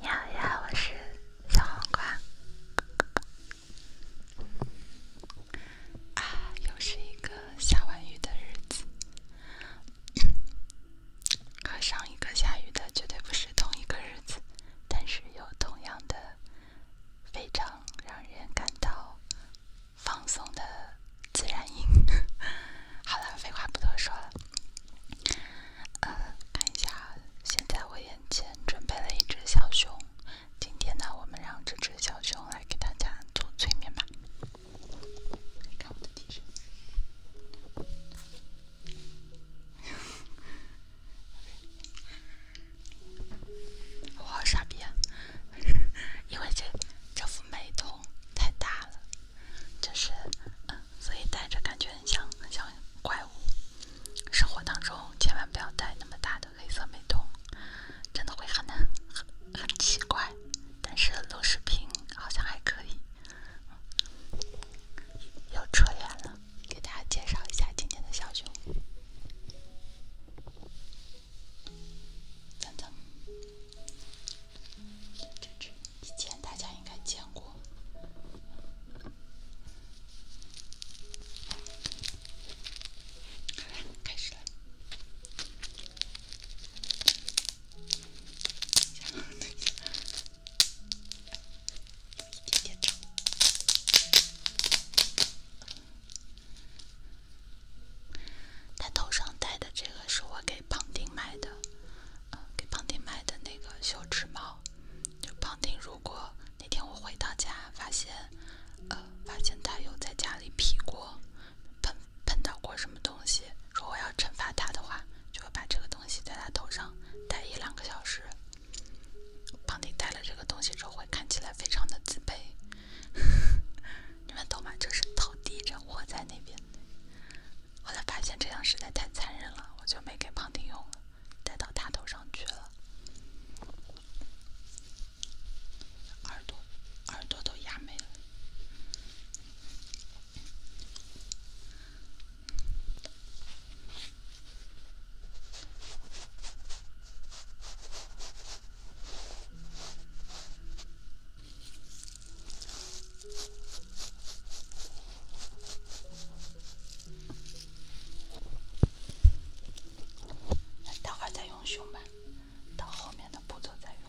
你好呀，我是小黄瓜。啊，又是一个下完雨的日子，和上一个下雨的绝对不是同一个日子，但是有同样的，非常让人感到。放松的自然音。好了，废话不多说了。呃，看一下，现在我眼前准备了一只小熊。今天呢，我们让这只小熊来给大家做催眠吧。看我的姿势，我好傻逼，啊，因为这这副美瞳。太大了，就是，嗯，所以戴着感觉很像很像怪物。生活当中千万不要戴那么大的黑色美瞳，真的会很很很奇怪。但是录视频好像还可以。又扯远了，给大家介绍一下今天的小熊。等等，这这这，以前大家应该见过。好，来，开始了。等一下，等一下，一点点照。他头上戴的这个是我给庞丁买的，呃，给庞丁买的那个羞耻帽。就庞丁，如果那天我回到家发现，呃，发现他有在家里劈过、喷喷到过什么东西，如果我要惩罚他的话，就会把这个东西在他头上戴一两个小时。庞丁戴了这个东西之后，会看起来非常的自卑。你们都把这是头低着我在那边。后来发现这样实在太残忍了，我就没给胖丁用了，带到他头上去了。耳朵，耳朵都压没了。待会儿再用熊吧，到后面的步骤再用。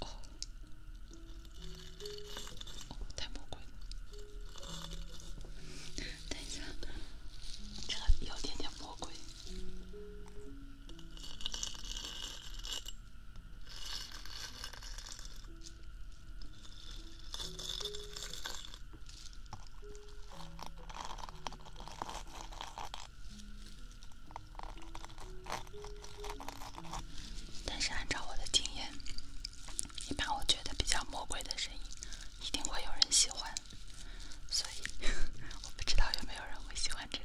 哦，太魔鬼！了，等一下，这个有点点魔鬼。但是，按照我的经验，一般我觉得比较魔鬼的声音，一定会有人喜欢。所以，我不知道有没有人会喜欢这个。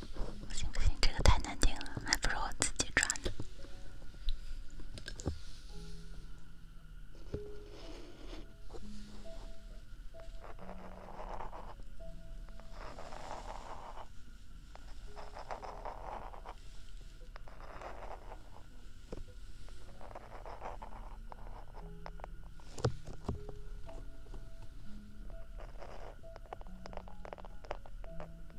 不行不行，这个太难听了，还不如我自己抓呢。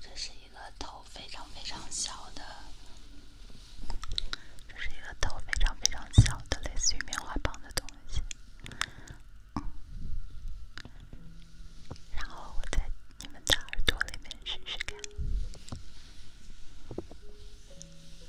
这是一个头非常非常小的，这是一个头非常非常小的，类似于棉花棒的东西。然后我在你们的耳朵里面试试看。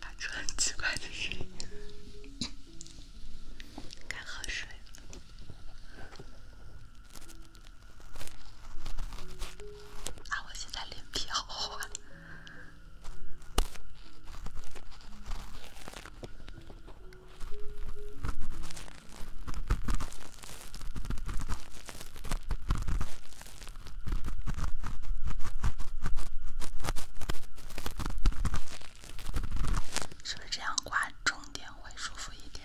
发出很奇怪的声音，该喝水。了。啊，我现在脸皮好厚啊！是不是这样刮重点会舒服一点？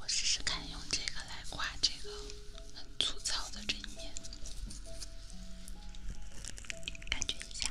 我试试看用这个来挂这个。很粗糙的这一面，感觉一下。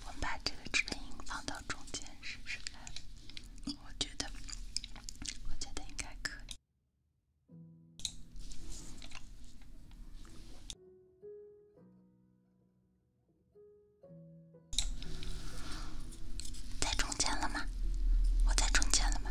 我们把这个指引放到中间试试看，我觉得，我觉得应该可以。中间了吗？我在中间了吗？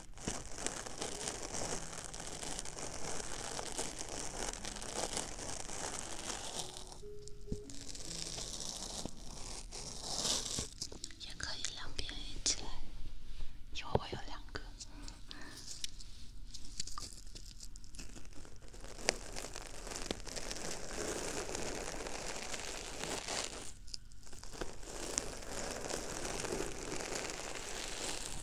也可以两边一起来，因为我有两个。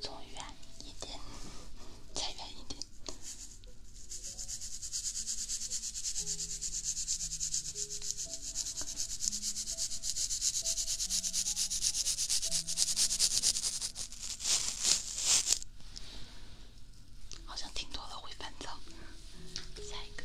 左远一点，再远一点。好像听多了会烦躁。下一个。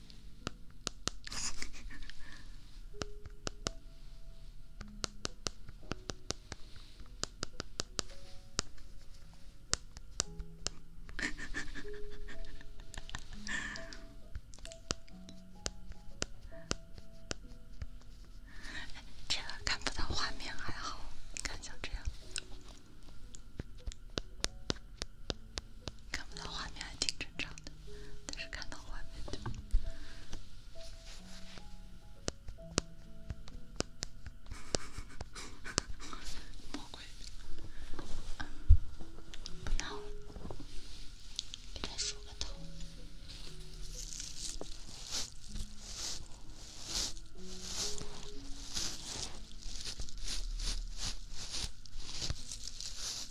这个看不到画面还好，你看像这样。看不到画面还挺正常的，但是看到画面，魔鬼不闹了，给他梳个头。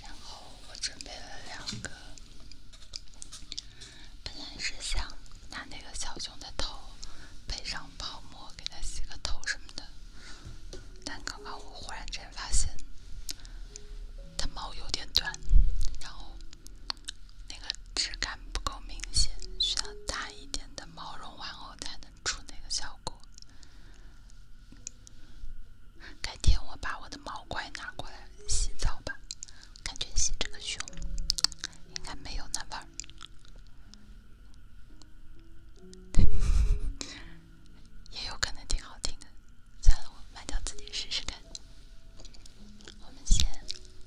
然后我准备了两个，本来是想拿那个小熊的头配上泡沫给它洗个头什么的，但刚刚我忽然间发现，它毛有点短，然后那个质感不够明显，需要大一点的毛绒玩偶才能出那个效果。改天我把我的毛乖拿过来洗澡吧，感觉洗这个胸应该没有那味 也有可能挺好听的。算了，我买条自己试试看。我们先，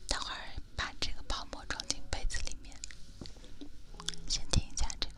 待会儿把这个泡沫装进杯子里面，先听一下这个。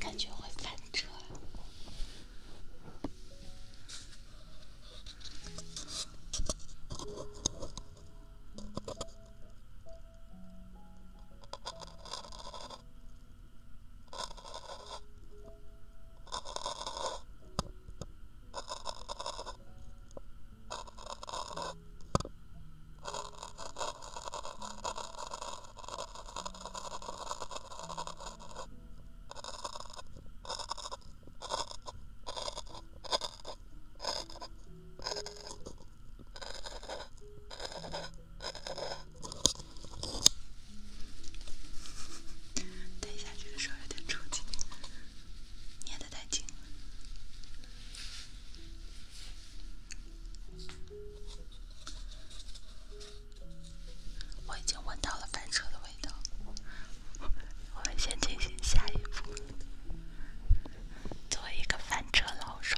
感觉会翻车。等一下，这个手有点抽筋。捏得太紧，了，我已经闻到了翻车的味道。我们先进行下一步，作为一个翻车老手。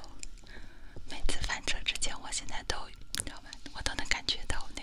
每次翻车之前，我现在都，你知道吗？我都能感觉到那。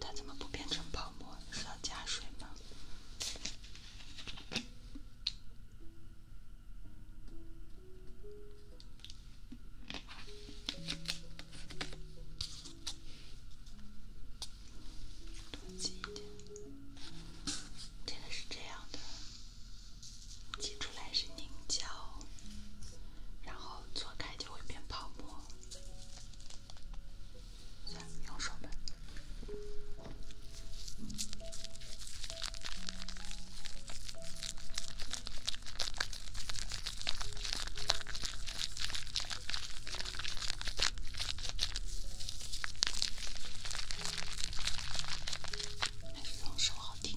它怎么不变成泡沫？是要加水吗？多挤一点，真的是这样的，挤出来是凝胶，然后搓开就会变泡沫。用手呗，还是用手好听。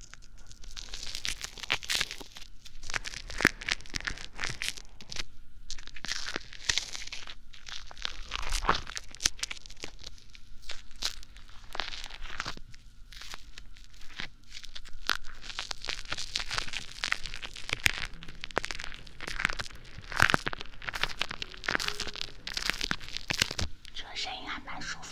这声音还蛮舒服。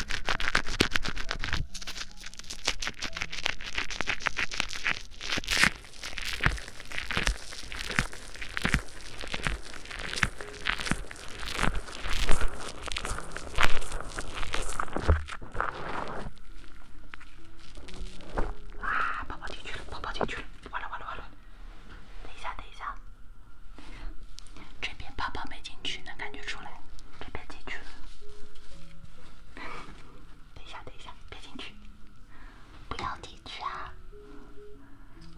啊宝宝进去了宝宝进去了完了完了完了等一下等一下这边泡泡没进去，能感觉出来。这边进去了，等一下等一下，别进去，不要进去啊！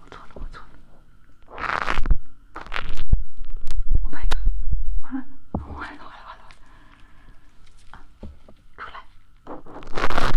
我错了我错了，Oh my god！完了完了完了完了啊，出来。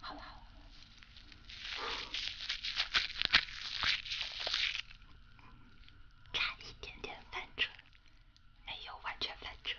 好了好了，差一点点翻车，没有完全翻车。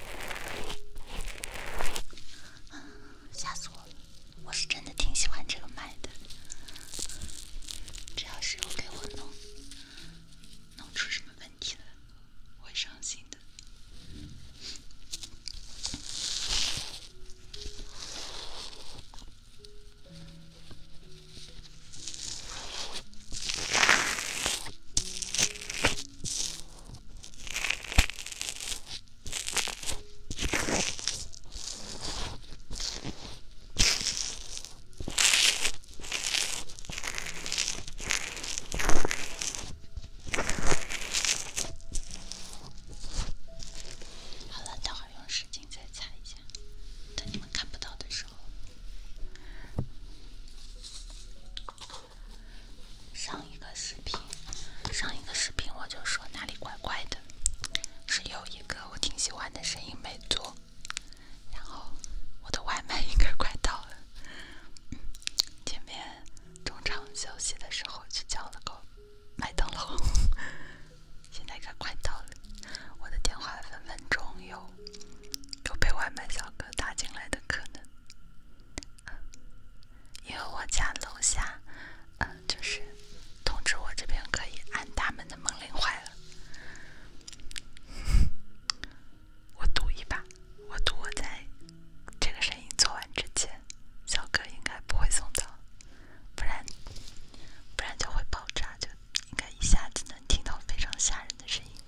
吓死我了！我是真的挺喜欢这个麦的，只要是有给我弄弄出什么问题来，我会伤心的。好了，等会用湿巾再擦一下，等你们看不到的时候。上一个视频，上一个视频我就说哪里怪怪的，是有一个我挺喜欢的声音没做。然后我的外卖应该快到了，前面中场休息的时候去叫了个麦当劳，现在应该快到了。我的电话分分钟有有被外卖小哥打进来的可能。因为我家楼下，嗯，就是通知我这边可以按大门的门铃坏了。我赌一把，我赌我在这个声音做完之前，小哥应该不会送走，不然不然就会爆炸，就应该一下子能听到非常吓人的声音。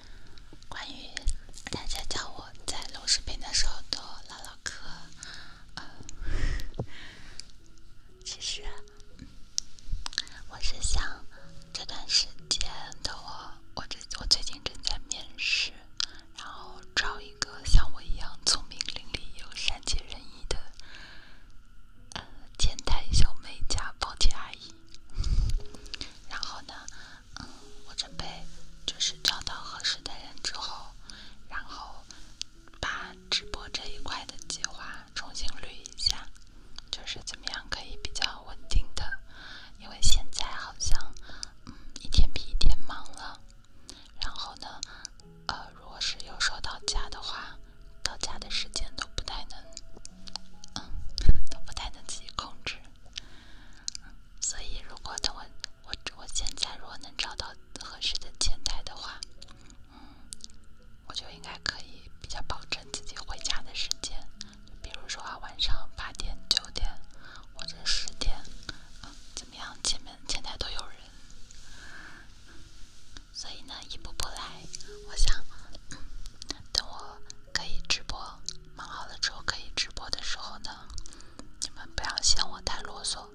关于大家叫我在录视频的时候多唠唠嗑，呃，其实我是想这段时间的我，我这我最近正在面试，然后找一个像我一样聪明伶俐又善解人意的，呃，前台小妹家保洁阿姨。然后呢？嗯，我准备就是找到合适的人之后，然后把直播这一块的计划重新捋一下，就是怎么样可以比较稳定的，因为现在好像嗯一天比一天忙了，然后呢，呃，如果是有收到家的话，到家的时间都不太能，嗯，都不太能自己控制。所以，如果等我我我现在如果能找到合适的前台的话，嗯，我就应该可以比较保证自己回家的时间。比如说啊，晚上八点、九点或者十点，怎么样？前面前台都有人，所以呢，一步步来。我想等我。可以直播，忙好了之后可以直播的时候呢，你们不要嫌我太啰嗦。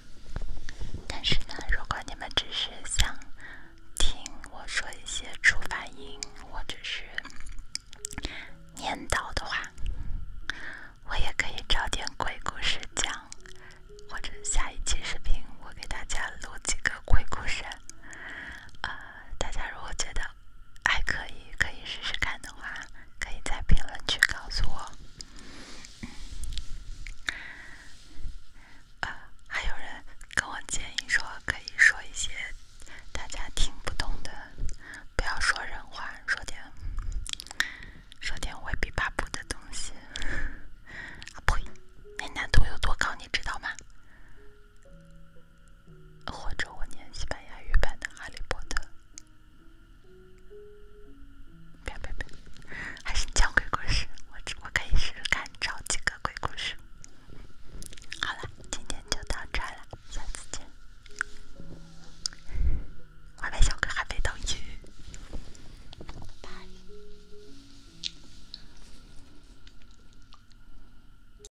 但是呢，如果你们只是想听我说一些出发音或者是念叨的话，我也可以找点鬼故事讲，或者下一期视频我给大家录几个鬼故事。呃，大家如果觉得。还可以，可以试试看的话，可以在评论区告诉我。啊，还有人跟我建议说，可以说一些大家听不懂的，不要说人话，说点说点未必巴不的东西。啊呸，那难度有多高，你知道吗？或者我念西班牙语版的《哈利波特》。别别别，还是讲鬼故事。我我可以试试看找几个鬼故事。好了，今天就到这了，下次见。我被小哥还没到去，拜拜。